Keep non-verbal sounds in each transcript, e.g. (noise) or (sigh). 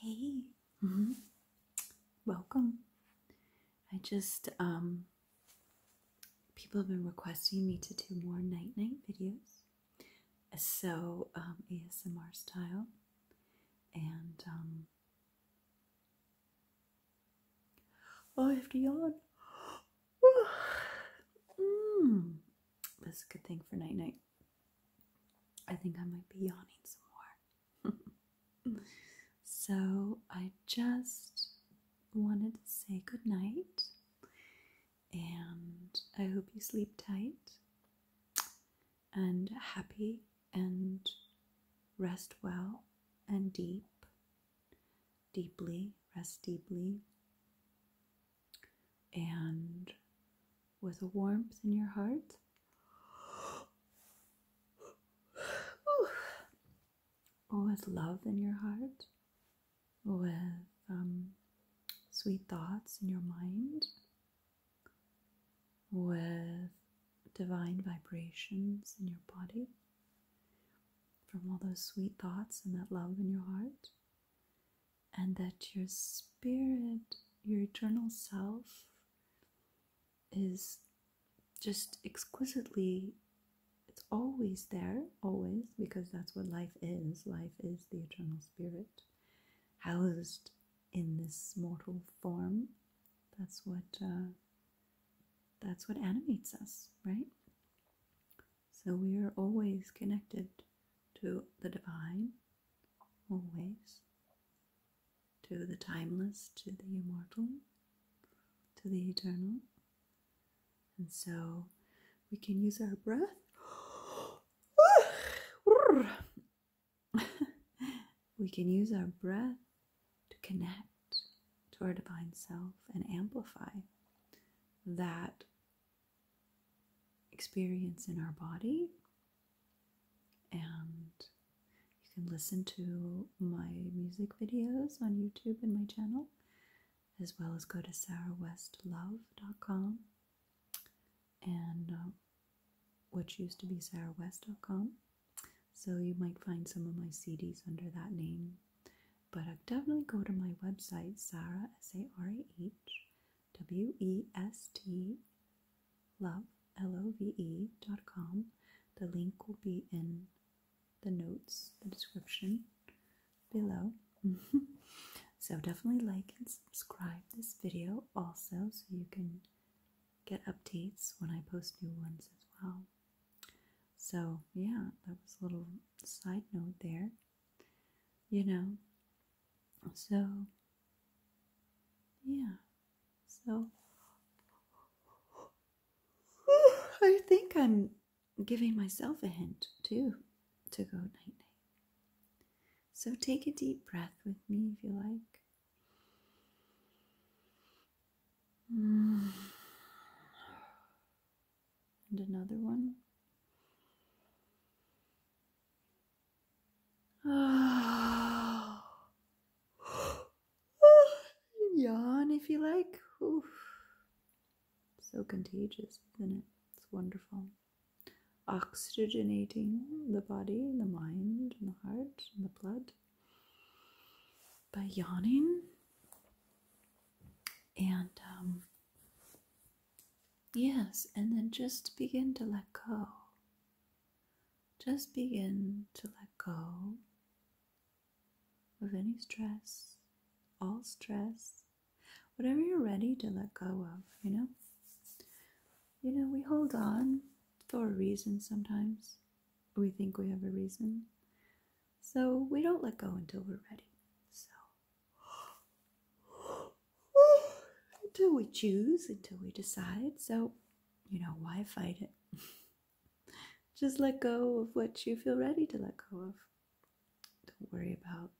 Hey, mm-hmm. welcome. I just, um, people have been requesting me to do more night night videos, so, um, ASMR style, and, um, oh, I have to yawn. (gasps) mm. That's a good thing for night night. I think I might be yawning some more. (laughs) so I just wanted to say good night and I hope you sleep tight and happy and rest well and deep, deeply, rest deeply and with a warmth in your heart. With love in your heart, with um, sweet thoughts in your mind, with divine vibrations in your body from all those sweet thoughts and that love in your heart and that your spirit, your eternal self, is just exquisitely it's always there, always, because that's what life is. Life is the eternal spirit housed in this mortal form. That's what uh, that's what animates us, right? So we are always connected to the divine, always, to the timeless, to the immortal, to the eternal. And so we can use our breath. (gasps) we can use our breath to connect to our divine self and amplify that experience in our body. And you can listen to my music videos on YouTube and my channel, as well as go to sarawestlove.com, and um, which used to be sarawest.com. So you might find some of my CDs under that name. But i uh, definitely go to my website, Sarah, S-A-R-A-H, W E S T love L O V E dot com. The link will be in the notes, the description below. (laughs) so definitely like and subscribe this video also so you can get updates when I post new ones as well. So yeah, that was a little side note there. You know, so, yeah. So, (sighs) I think I'm giving myself a hint too to go night night. So, take a deep breath with me if you like. (sighs) And another one. (sighs) Yawn if you like. So contagious, isn't it? It's wonderful. Oxygenating the body, the mind, the heart, the blood by yawning. And um, Yes, and then just begin to let go. Just begin to let go of any stress, all stress, whatever you're ready to let go of, you know? You know, we hold on for a reason sometimes. We think we have a reason. So we don't let go until we're ready. So until we choose, until we decide. So, you know, why fight it? (laughs) Just let go of what you feel ready to let go of. Don't worry about.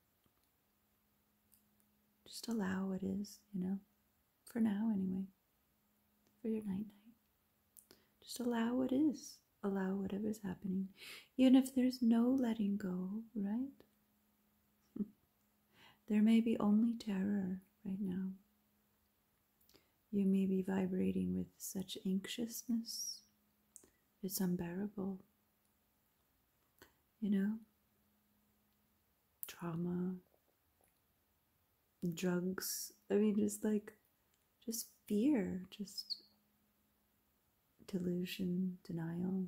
Just allow what is, you know, for now anyway, for your night night. Just allow what is, allow whatever's happening, even if there's no letting go, right? (laughs) there may be only terror right now. You may be vibrating with such anxiousness, it's unbearable. You know, trauma, drugs, I mean, just like, just fear, just delusion, denial,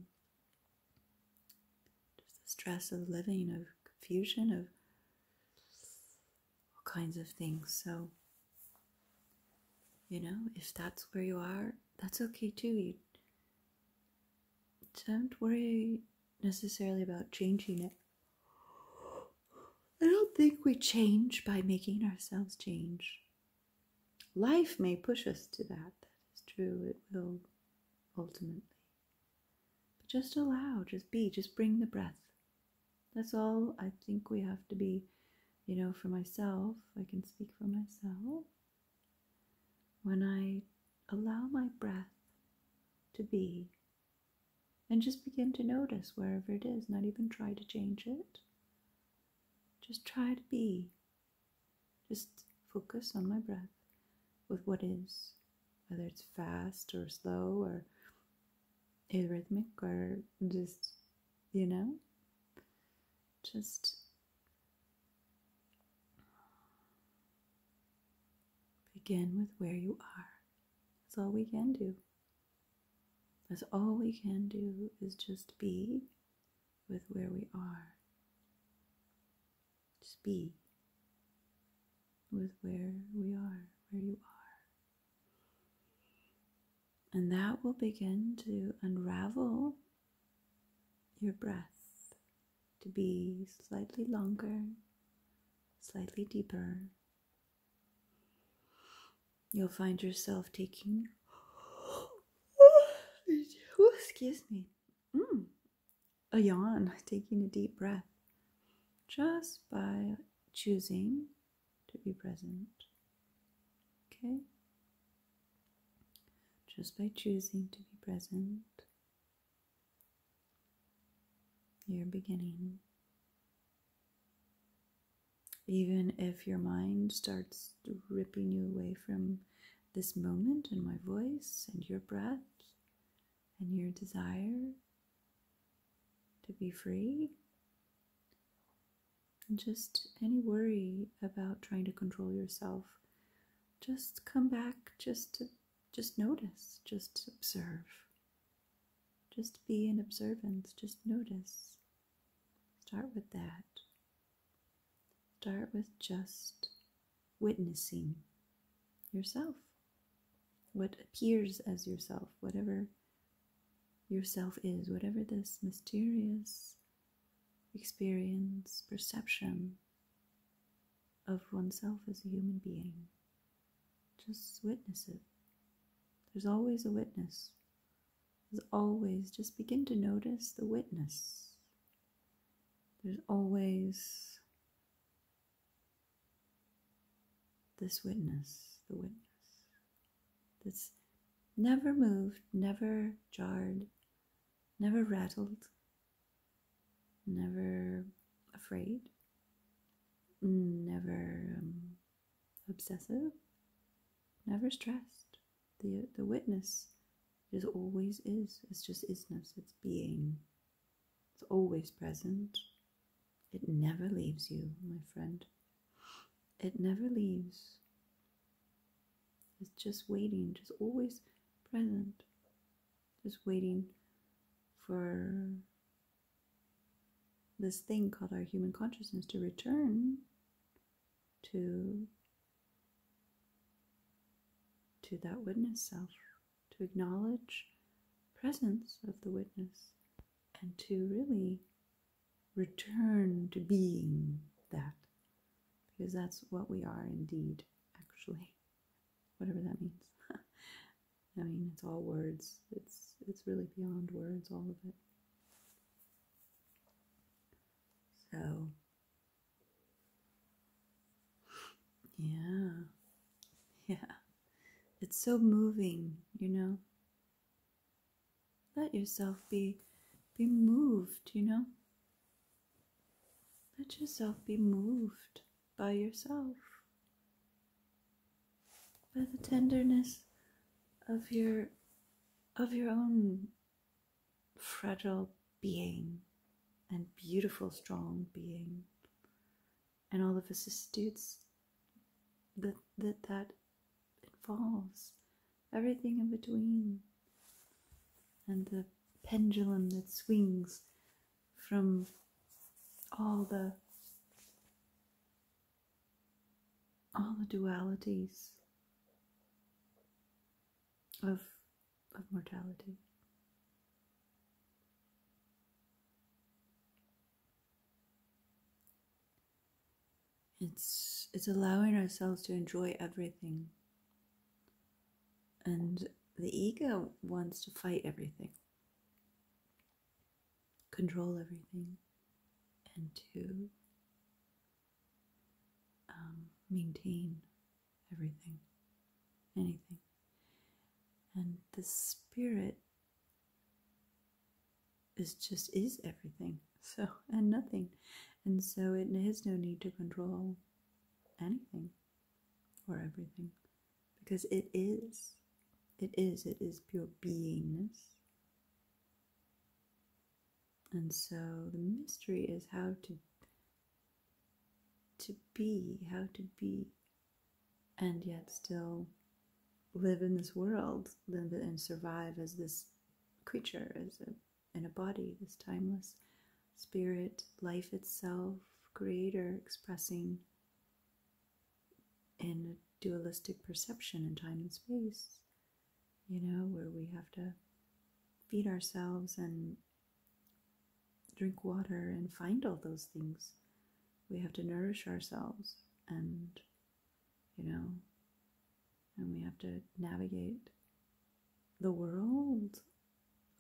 just the stress of living, of confusion, of all kinds of things. So, you know, if that's where you are, that's okay too. You don't worry necessarily about changing it. I don't think we change by making ourselves change. Life may push us to that, that is true, it will ultimately. But just allow, just be, just bring the breath. That's all I think we have to be, you know, for myself. I can speak for myself. When I allow my breath to be, and just begin to notice wherever it is, not even try to change it. Just try to be just focus on my breath with what is, whether it's fast or slow or arrhythmic or just, you know, just begin with where you are. That's all we can do. That's all we can do is just be with where we are. Just be with where we are, where you are. And that will begin to unravel your breath to be slightly longer, slightly deeper. You'll find yourself taking Ooh, excuse me. Mm. A yawn, taking a deep breath. Just by choosing to be present. Okay? Just by choosing to be present, you're beginning. Even if your mind starts ripping you away from this moment and my voice and your breath and your desire to be free. And just any worry about trying to control yourself, just come back just to just notice, just observe. Just be in observance, just notice. Start with that. Start with just witnessing yourself, what appears as yourself, whatever yourself is, whatever this mysterious experience, perception of oneself as a human being. Just witness it. There's always a witness. As always, just begin to notice the witness. There's always this witness, the witness that's never moved, never jarred, never rattled, never afraid, never um, obsessive, never stressed, the, the witness is always is. It's just isness, it's being. It's always present. It never leaves you, my friend. It never leaves. It's just waiting, just always present. Just waiting for this thing called our human consciousness to return to to that witness self, to acknowledge presence of the witness, and to really return to being that, because that's what we are indeed, actually, (laughs) whatever that means. (laughs) I mean, it's all words. It's it's really beyond words, all of it. So, yeah, (laughs) yeah, it's so moving, you know. Let yourself be be moved, you know. Let yourself be moved by yourself, by the tenderness of your of your own fragile being and beautiful, strong being, and all the vicissitudes that that, that involves, everything in between, and the pendulum that swings from all the all the dualities of, of mortality. It's it's allowing ourselves to enjoy everything. And the ego wants to fight everything, control everything, and to um, maintain everything, anything. And the spirit is just is everything, (laughs) so and nothing, and so it has no need to control anything or everything because it is, it is, it is pure beingness. And so the mystery is how to to be, how to be, and yet still live in this world, live and survive as this creature, as in a body, this timeless spirit, life itself, creator expressing in a dualistic perception in time and space you know, where we have to feed ourselves and drink water and find all those things. We have to nourish ourselves and, you know, and we have to navigate the world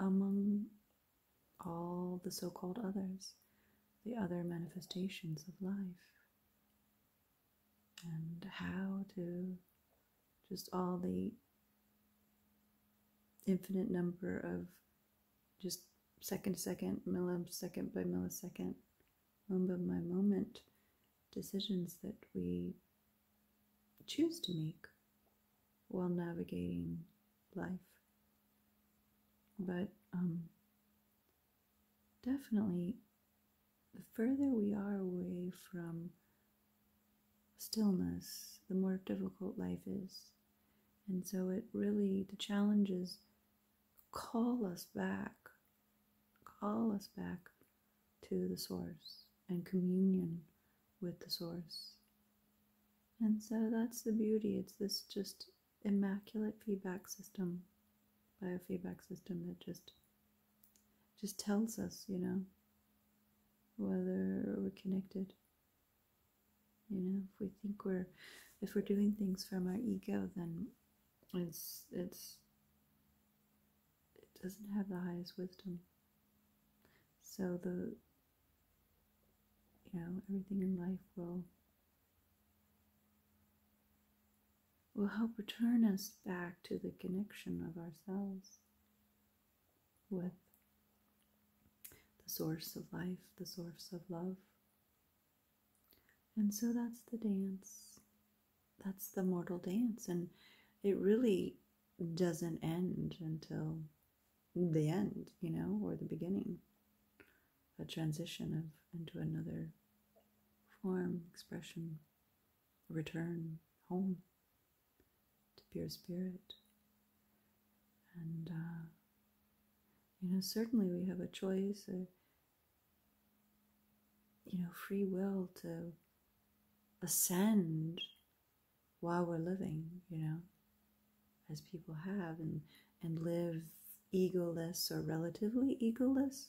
among all the so called others, the other manifestations of life and how to just all the infinite number of just second second, millisecond by millisecond, moment by moment decisions that we choose to make while navigating life. But um, definitely the further we are away from stillness, the more difficult life is. And so it really, the challenges call us back, call us back to the source and communion with the source. And so that's the beauty. It's this just immaculate feedback system, biofeedback system that just just tells us, you know, whether we're connected. You know, if we think we're, if we're doing things from our ego, then it's, it's, it doesn't have the highest wisdom. So the, you know, everything in life will will help return us back to the connection of ourselves with the source of life, the source of love. And so that's the dance. That's the mortal dance. And it really doesn't end until the end, you know, or the beginning. A transition of into another form, expression return home to pure spirit. And, uh, you know, certainly we have a choice, you know, free will to ascend while we're living, you know, as people have, and, and live egoless or relatively egoless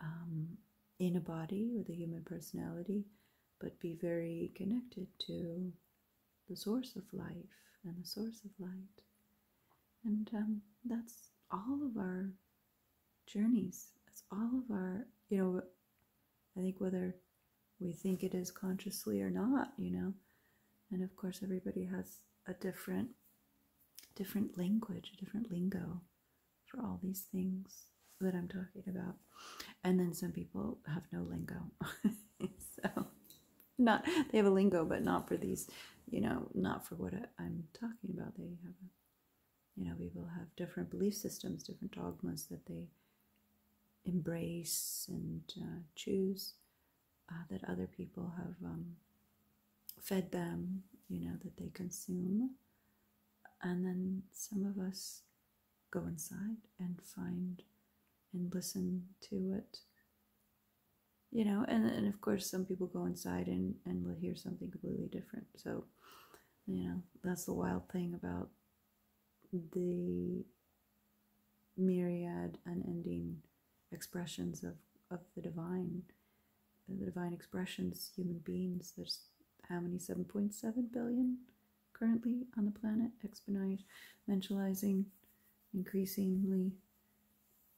um, in a body with a human personality, but be very connected to the source of life and the source of light. And um, that's all of our journeys. That's all of our, you know, I think whether we think it is consciously or not, you know, and of course everybody has a different different language, a different lingo for all these things that I'm talking about. And then some people have no lingo. (laughs) so not they have a lingo but not for these, you know, not for what I, am talking about. They have a you know, people have different belief systems, different dogmas that they embrace and uh, choose uh, that other people have um, fed them, you know, that they consume. And then some of us go inside and find and listen to it. You know, and, and of course, some people go inside and, and will hear something completely different. So, you know, that's the wild thing about the myriad unending expressions of, of the divine, the divine expressions, human beings. There's how many? seven point seven billion currently on the planet, exponentializing increasingly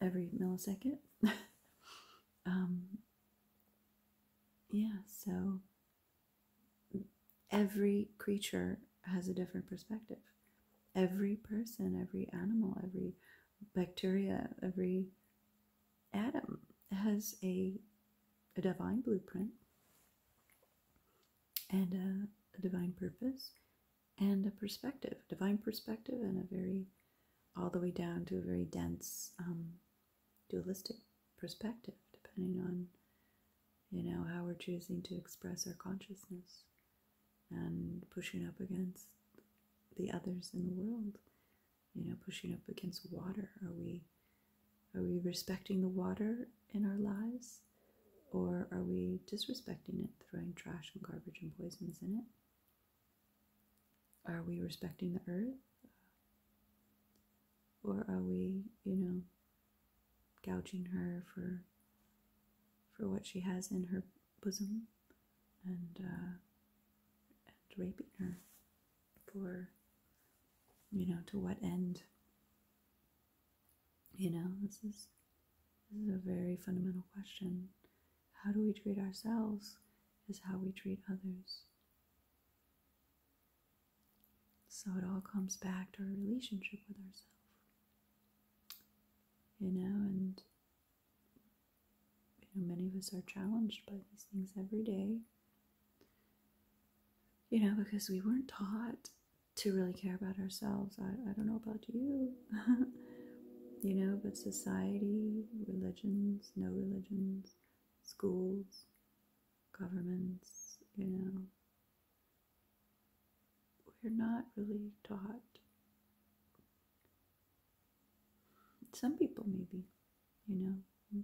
every millisecond. (laughs) um, yeah, so every creature has a different perspective. Every person, every animal, every bacteria, every atom has a, a divine blueprint and a, divine purpose and a perspective, divine perspective, and a very, all the way down to a very dense um, dualistic perspective, depending on, you know, how we're choosing to express our consciousness and pushing up against the others in the world you know pushing up against water are we are we respecting the water in our lives or are we disrespecting it throwing trash and garbage and poisons in it are we respecting the earth or are we you know gouging her for for what she has in her bosom uh, and, raping her for, you know, to what end? You know, this is this is a very fundamental question. How do we treat ourselves is how we treat others. So it all comes back to our relationship with ourselves. You know, and you know, many of us are challenged by these things every day. You know, because we weren't taught to really care about ourselves. I, I don't know about you, (laughs) you know, but society, religions, no religions, schools, governments, you know, we're not really taught some people, maybe, you know,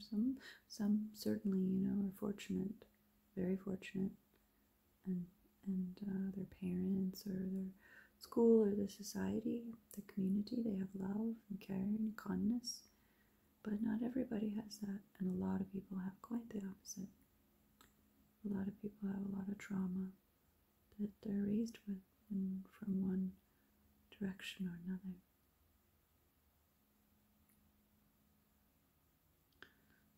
some some certainly, you know, are fortunate, very fortunate, and and uh, their parents or their school or the society, the community, they have love and care and kindness. But not everybody has that, and a lot of people have quite the opposite. A lot of people have a lot of trauma that they're raised with in, from one direction or another.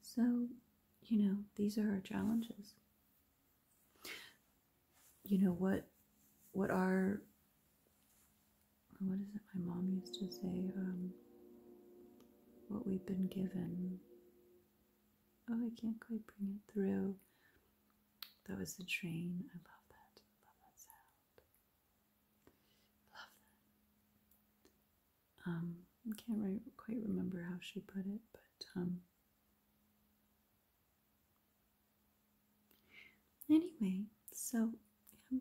So, you know, these are our challenges. You know what what are what is it my mom used to say? Um, what we've been given. Oh, I can't quite bring it through. That was the train. I love that. Love that sound. Love that. Um, I can't quite remember how she put it, but um. Anyway, so um,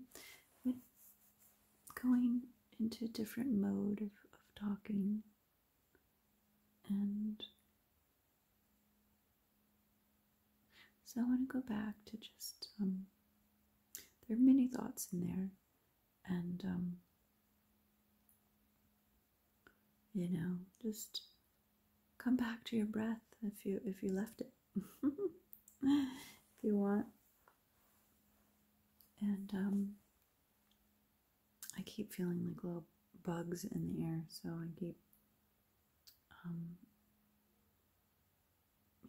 with going into a different mode of, of talking and so I want to go back to just, um, there are many thoughts in there, and, um, you know, just come back to your breath if you if you left it, (laughs) if you want, and um, I keep feeling like little bugs in the air, so I keep, um,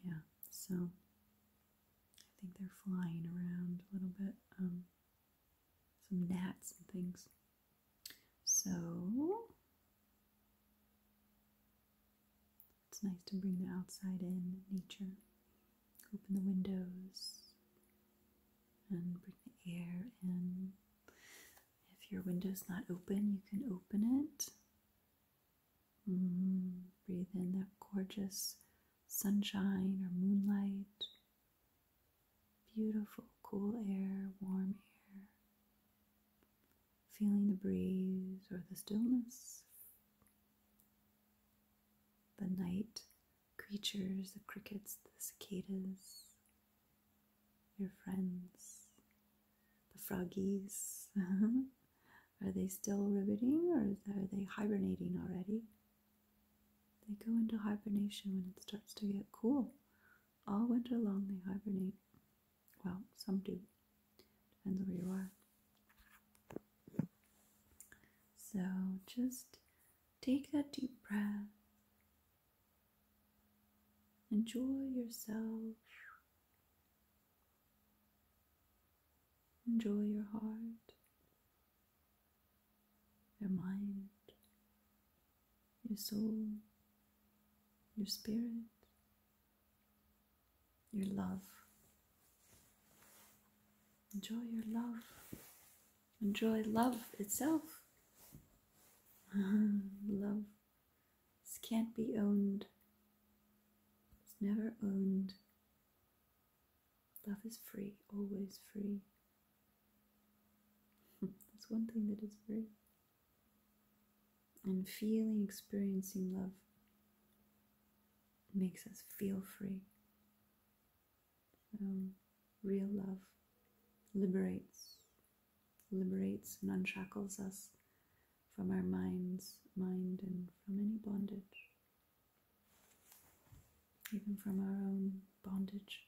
yeah, so I think they're flying around a little bit, um, some gnats and things. So, it's nice to bring the outside in, nature, open the windows, and bring the air in. If your window's not open, you can open it. Mm-hmm. breathe in that gorgeous sunshine or moonlight. Beautiful, cool air, warm air. Feeling the breeze or the stillness. The night creatures the crickets, the cicadas, your friends, the froggies. (laughs) are they still ribbiting or are they hibernating already? They go into hibernation when it starts to get cool. All winter long they hibernate. Well, some do. Depends where you are. So just Take that deep breath. Enjoy yourself. Enjoy your heart, your mind, your soul, your spirit, your love. Enjoy your love enjoy love itself. Uh-huh. love this can't be owned. It's never owned. Love is free, always free. (laughs) That's one thing that is free. And feeling, experiencing love makes us feel free. Um, real love liberates, liberates and unshackles us from our minds, mind, and from any bondage, even from our own bondage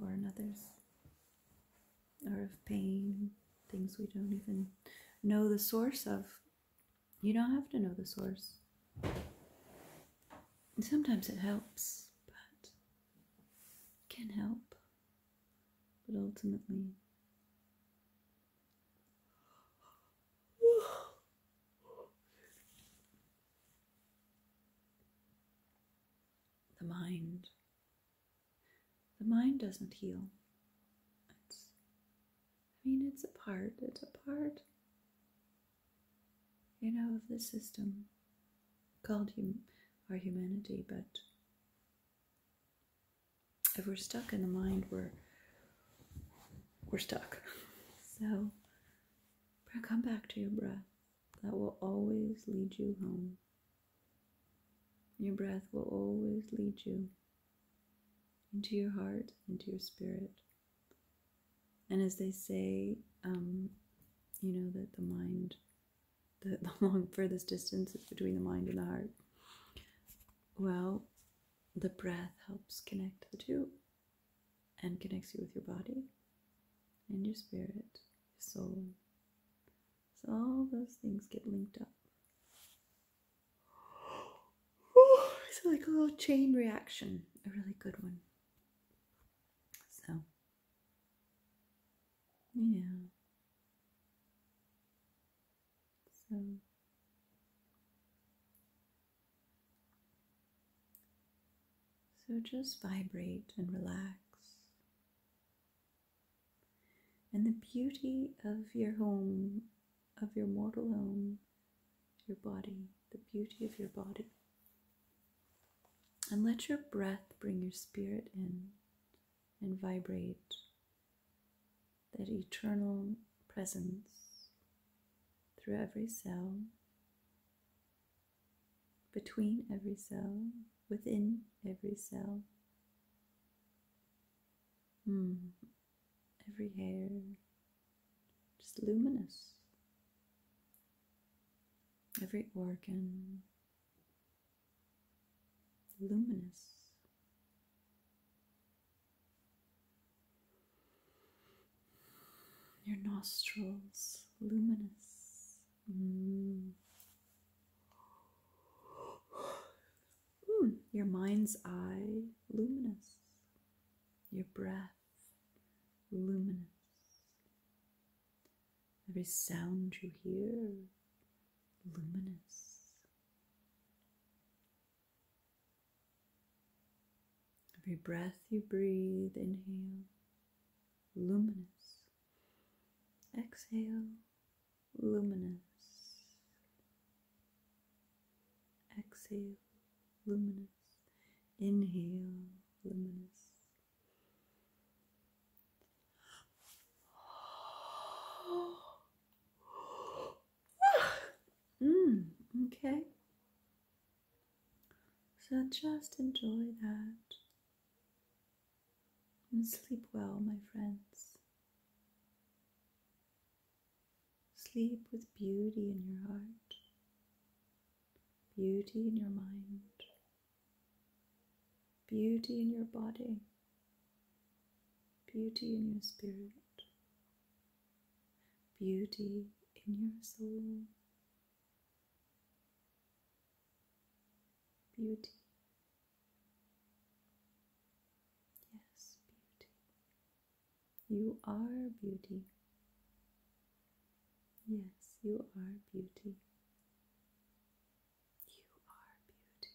or another's, or of pain, things we don't even know the source of. You don't have to know the source. Sometimes it helps but can help. But ultimately, the mind. The mind doesn't heal. It's, I mean, it's a part. It's a part you know, of this system called hum our humanity. But if we're stuck in the mind, we're we're stuck. (laughs) So come back to your breath. That will always lead you home. Your breath will always lead you into your heart, into your spirit. And as they say, um, you know, that the mind, the, (laughs) the long furthest distance is between the mind and the heart. Well, the breath helps connect the two and connects you with your body and your spirit, your soul. So all those things get linked up. (gasps) It's like a little chain reaction, a really good one. So, yeah. So, so just vibrate and relax. And the beauty of your home, of your mortal home, your body, the beauty of your body. And let your breath bring your spirit in and vibrate that eternal presence through every cell, between every cell, within every cell. Mm. Every hair, just luminous. Every organ luminous. Your nostrils luminous. Mm. Your mind's eye luminous. Your breath luminous. Every sound you hear, luminous. Every breath you breathe, inhale, luminous. Exhale, luminous. Exhale, luminous. Inhale, luminous. (gasps) Mm, okay. So just enjoy that. And sleep well, my friends. Sleep with beauty in your heart beauty in your mind, beauty in your body, beauty in your spirit, beauty in your soul, beauty. Yes, beauty. You are beauty. Yes, you are beauty. You are beauty.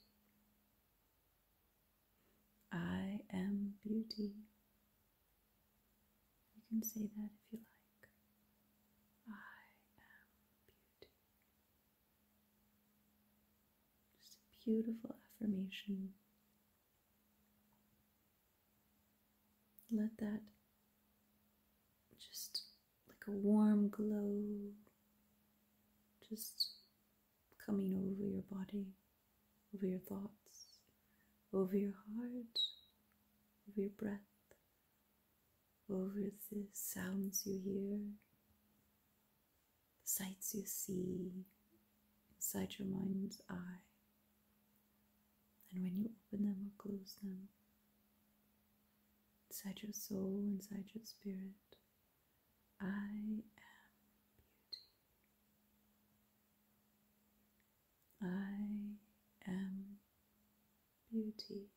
I am beauty. You can say that if you like. I am beauty. Just a beautiful affirmation let that just like a warm glow just coming over your body, over your thoughts, over your heart, over your breath, over the sounds you hear, the sights you see inside your mind's eye. And when you open them or close them, inside your soul, inside your spirit, I am beauty. I am beauty.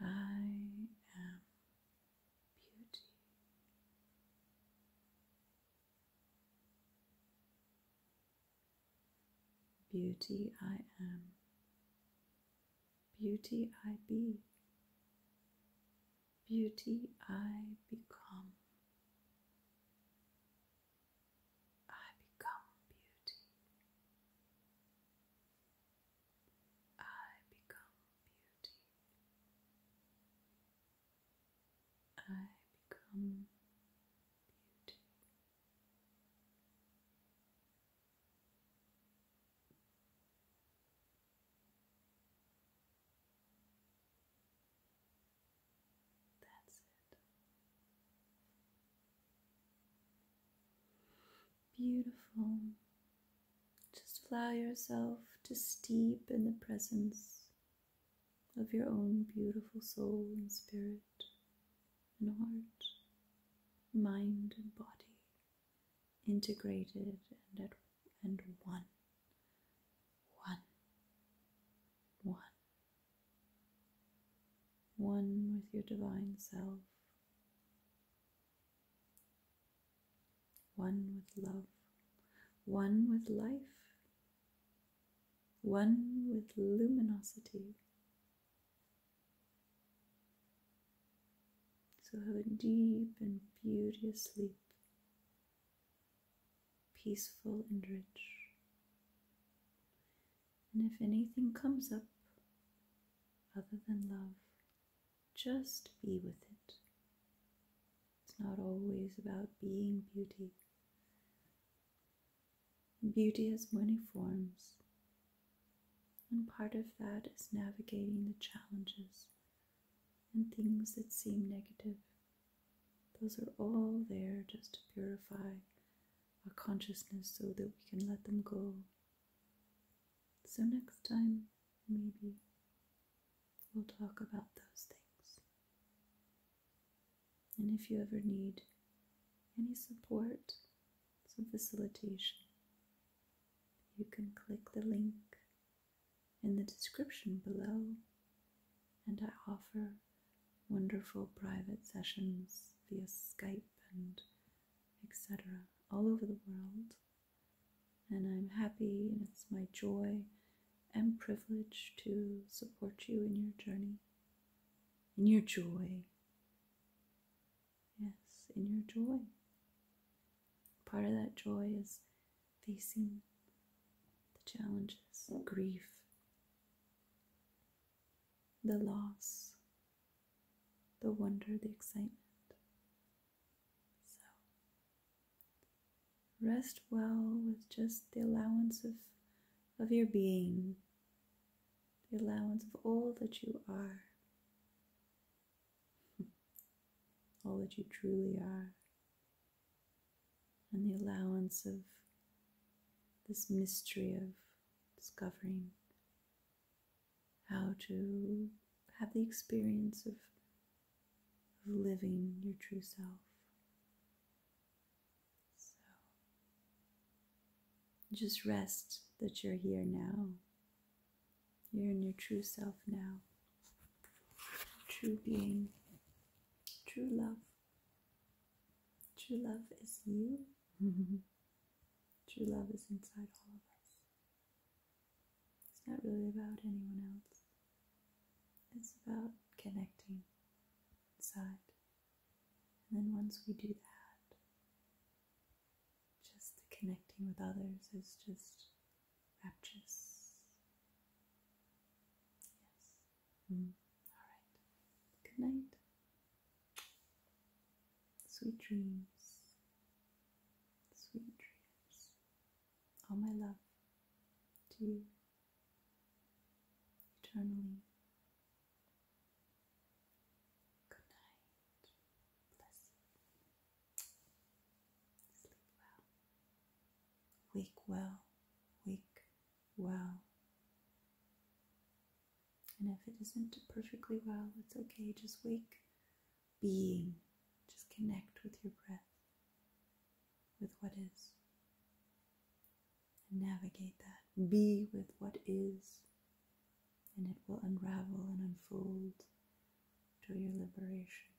I am beauty. Beauty I am, beauty I be, beauty I become. I become beauty. I become beauty. I become beauty. That's it. Beautiful, just allow yourself to steep in the presence of your own beautiful soul and spirit and heart, mind and body, integrated and at and one. One. One with your divine self one with love, one with life, one with luminosity. So have a deep and beauteous sleep, peaceful and rich. And if anything comes up other than love, just be with it. It's not always about being beauty. Beauty has many forms, and part of that is navigating the challenges and things that seem negative. Those are all there just to purify our consciousness so that we can let them go. So, next time, maybe We'll talk about those things. And if you ever need any support, some facilitation, you can click the link in the description below, and I offer wonderful private sessions via Skype and etc. all over the world and I'm happy and it's my joy and privilege to support you in your journey, in your joy. Yes, in your joy. Part of that joy is facing the challenges, grief, the loss, the wonder, the excitement, so, rest well with just the allowance of, of your being, the allowance of all that you are, (laughs) all that you truly are, and the allowance of this mystery of discovering how to have the experience of of living your true self. So just rest that you're here now. You're in your true self now. True being, true love. True love is you. (laughs) true love is inside all of us. It's not really about anyone else. It's about connecting inside. And then once we do that, just connecting with others is just rapturous. Yes. Mm. All right. Good night. Sweet dreams. Sweet dreams all my love to you eternally. Good night. Bless you. Sleep well. Wake well. Wake well. And if it isn't perfectly well, it's okay. Just wake being. Just connect with your breath, with what is. And navigate that. Be with what is, and it will unravel and unfold to your liberation.